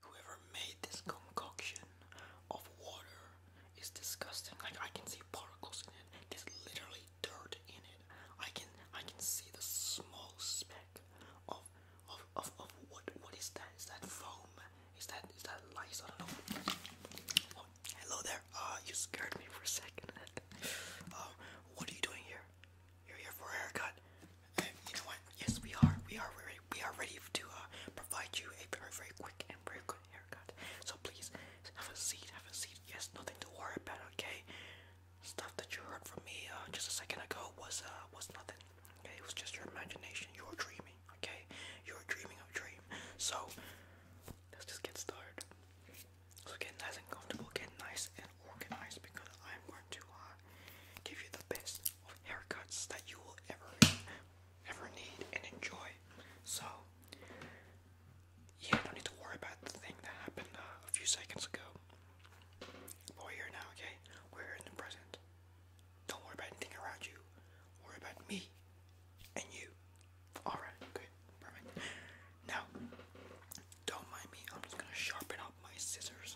Whoever made this concoction of water is disgusting. Like I can see particles in it. There's literally dirt in it. I can I can see the small speck of of of, of what what is that? Is that foam? Is that is that lice? I don't know. Oh, hello there. Uh you scared me for a second. um what are you doing here? You're here for haircut you know what? Yes, we are. We are ready. We are ready to uh, provide you a very, very quick and very good haircut. So please have a seat. Have a seat. Yes, nothing to worry about. Okay. Stuff that you heard from me uh, just a second ago was uh, was nothing. Okay, it was just your imagination. You are dreaming. Okay, you are dreaming of a dream. So let's just get started. So get nice and comfortable. Get nice and organized because I'm going to uh, give you the best haircuts that you will ever ever need and enjoy. So yeah, don't need to worry about the thing that happened uh, a few seconds ago. we're here now, okay? We're in the present. Don't worry about anything around you. Worry about me and you. Alright, okay, Now, don't mind me, I'm just gonna sharpen up my scissors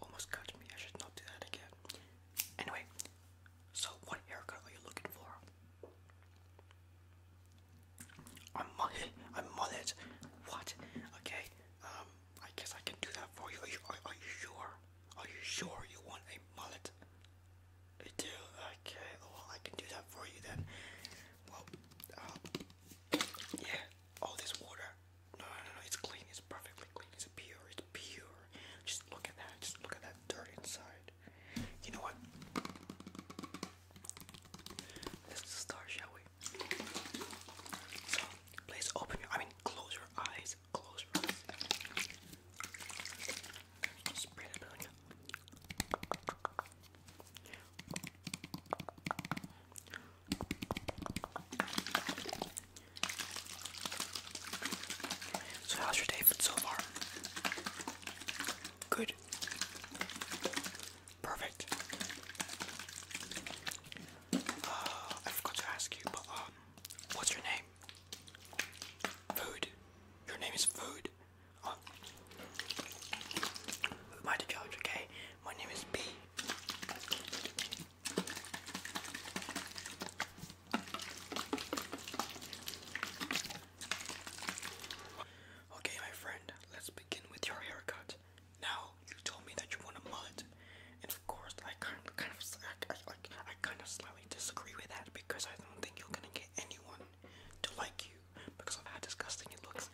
almost cut me. I should not do that again. Anyway, so what haircut are you looking for? A mullet? A mullet? What? Okay, um, I guess I can do that for you. Are you, sure? Are you sure you want a mullet? I do. Okay, well, I can do that for you then. Well, um, yeah. Oh, this water. No, no, no, It's clean. It's perfectly clean. It's pure. It's pure. Just look at that. Just look at that dirt inside. You know what? Let's start, shall we? So, please open your. I mean, close your eyes. Close your eyes. Spray that so how's your day been so far? Good. Perfect. Uh, I forgot to ask you, but um, what's your name? Food. Your name is Food. Oh. Who am I to judge? Okay, my name is B. Okay, my friend, let's begin with your haircut. Now, you told me that you want a mullet, and of course, I kind of, kind of, I, I, I kind of slightly disagree with that because I don't think you're gonna get anyone to like you because of how disgusting it looks,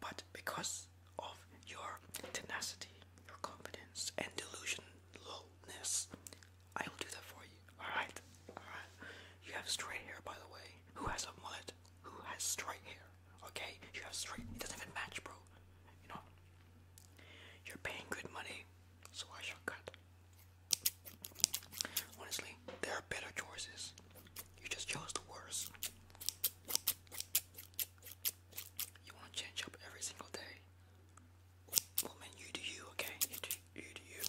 but because of your tenacity, your confidence, and delusionalness, I will do that for you. Alright? Alright? You have straight hair, by the way. Who has a mullet? Who has straight hair? Okay? You have straight. It doesn't even match, bro. You know? You're paying good money, so why should I cut. Honestly, there are better choices. You just chose the worst. You want to change up every single day. Well, man, you do you, okay? You do you. Do you.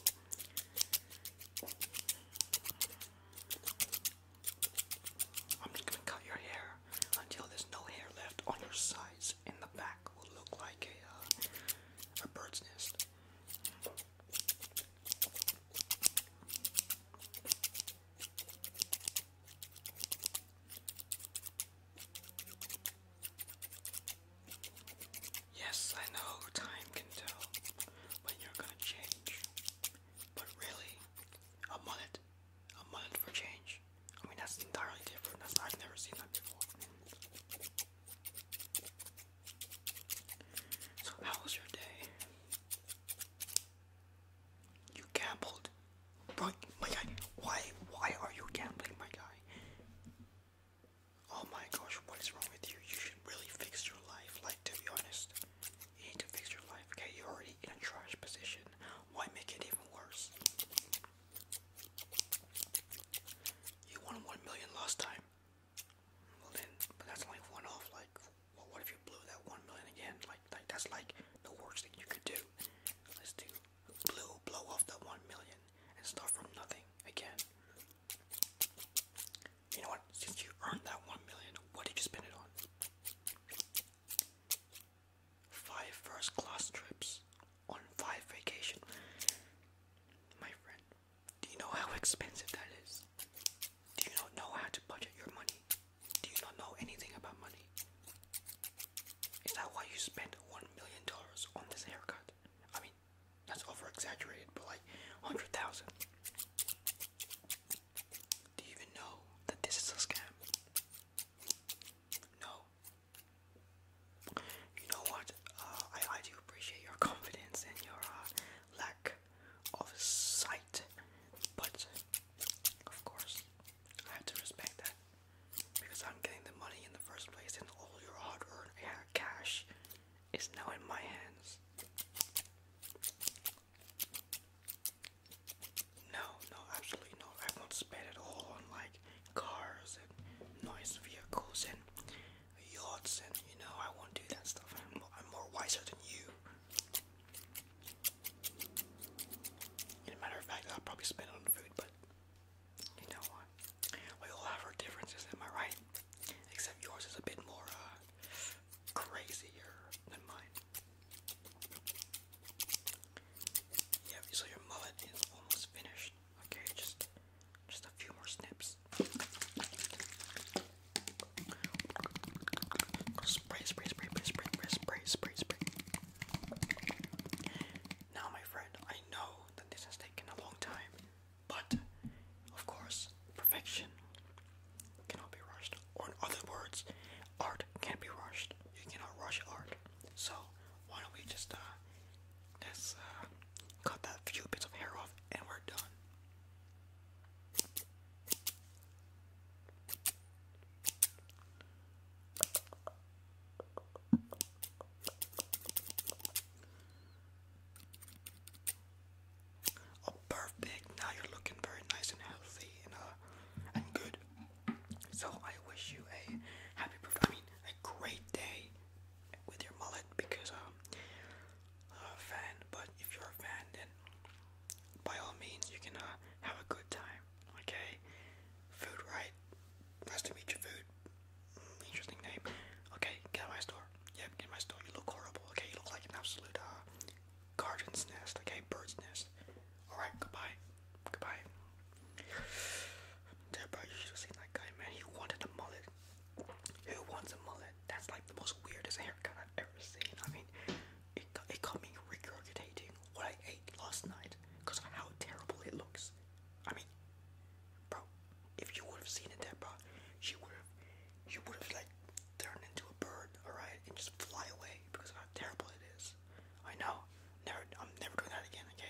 I'm just gonna cut your hair until there's no hair left on your sides, and the back will look like a uh, a bird's nest. Yes, I know time can tell when you're gonna change, but really, a mullet, a mullet for change. I mean, that's entirely different. That's I've never seen that before. So, how was your day? You gambled, bro. My guy, why, why are you gambling, my guy? Oh my gosh, what is wrong with you? You should really fix your life. Like, to be honest, you need to fix your life. Okay, you're already in a trash position. Why make it even worse? You won one million last time. Well then, but that's like one off. Like, what if you blew that one million again? Like, like that's like the worst thing you could do. Let's do blue, blow off that one million, and start from nothing again. You know what? Since you earned that one million, what did you spend it on? Five first class trips on five vacation. My friend, do you know how expensive that is? Do you not know how to budget your money? Do you not know anything about money? Is that why you spent one million dollars on this haircut? I mean, that's over but like hundred thousand. Do you even know that this is a scam? No. You know what? Uh, I, I do appreciate your confidence and your uh, lack of sight, but of course, I have to respect that because I'm getting the money in the first place, and all your hard earned cash is now in my hands. No, no, absolutely not. I won't spend it all on like cars and nice vehicles and yachts and you know I won't do that stuff. I'm, more wiser than you. In a matter of fact, I'll probably spend on food, but you know We all have our differences, am I right? Except yours is a bit more uh, crazier than mine. Yeah, so your mullet is almost finished. Okay, just just a few more snips. Spray, spray, spray, spray, spray, spray, spray, spray. Now, my friend, I know that this has taken a long time, but of course, perfection cannot be rushed. Or, in other words, art can't be rushed. You cannot rush art. So why don't we just uh let's uh cut that few bits of hair off and we're done. Oh, perfect! Now you're looking very nice and healthy and uh, good. So I wish you a happy birthday. I mean, a great day with your mullet because um, a fan. But if you're a fan, then by all means you can uh, have a good time. Okay, food right. Nice to meet your food. Mm, interesting name. Okay, get out my store. Yep, get in my store. You look horrible. Okay, you look like an absolute uh, garden's nest, okay? Bird's nest. Alright, goodbye. Goodbye. Dude, you should have seen that guy, man. He wanted a mullet. Who wants a mullet? That's like the most weirdest haircut I've ever seen. I mean, it, it got me regurgitating what I ate last night because of how terrible it looks. I mean, bro, if you would have seen it there, you would have, you would have like turned into a bird, alright, and just fly away because how terrible it is. I know. I'm never doing that again. Okay.